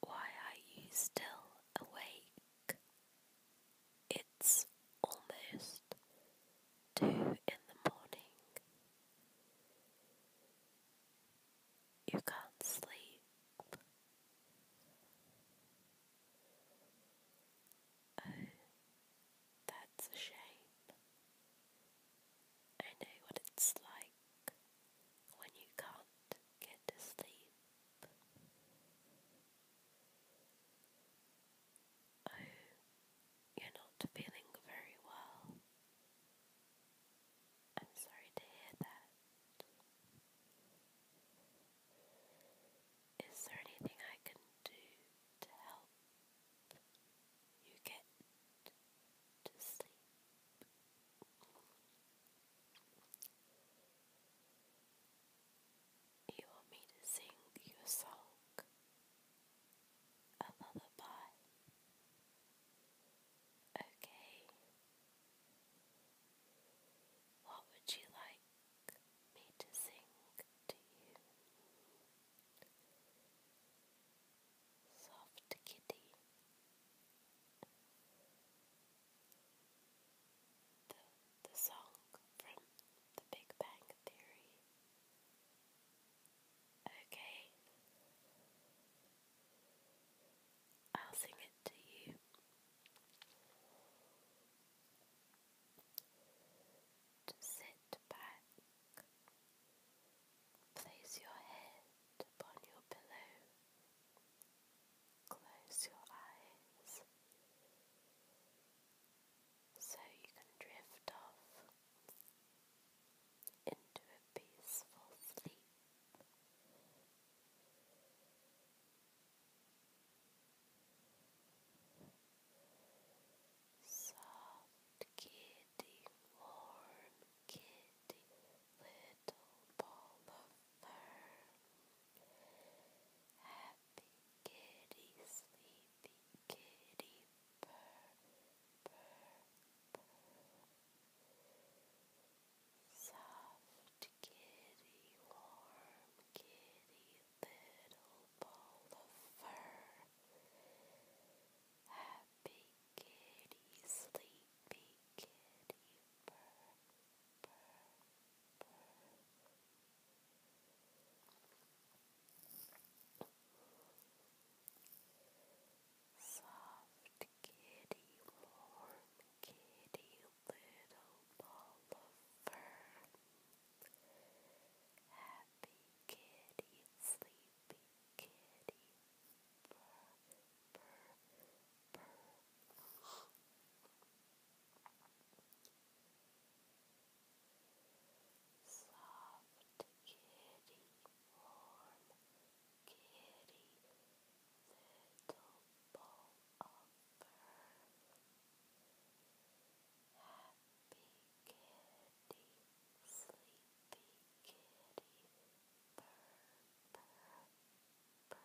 Why are you still awake? It's almost two in the morning. You can't sleep. Oh, that's a shame. I know what it's like when you can't get to sleep. Oh, you're not feeling very well. I'm sorry to hear that. Is there anything I can do to help? you get to sleep. You want me to sing you song, a lullaby. Okay. What would you like me to sing to you? Soft Kitty. The, the song from The Big Bang Theory. Okay. I'll sing it to you. sit back Place your head upon your pillow. Close your eyes so you can drift off into a peaceful sleep. Soft kitty, warm kitty, little ball of fur. Happy kitty, sleepy kitty, purr, purr, Soft kitty, warm kitty, little ball of fur. Happy kitty, sleepy kitty, purr, purr, purr. Soft kitty, warm kitty, little ball of fur. Happy kitty, sleepy kitty, purr, purr, purr. Soft kitty, warm kitty, little bowl of fur kitty, sleepy kitty, purr, purr, purr. Soft kitty, warm kitty,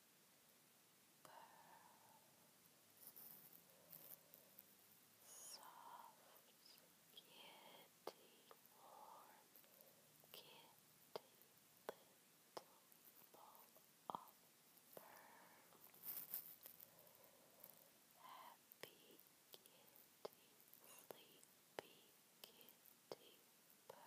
Soft kitty, warm kitty, little ball of burn. Happy kitty, sleepy kitty, purr, purr.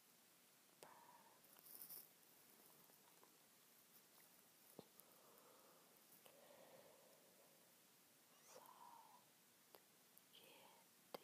kitty, warm kitty, little ball of fur. Warm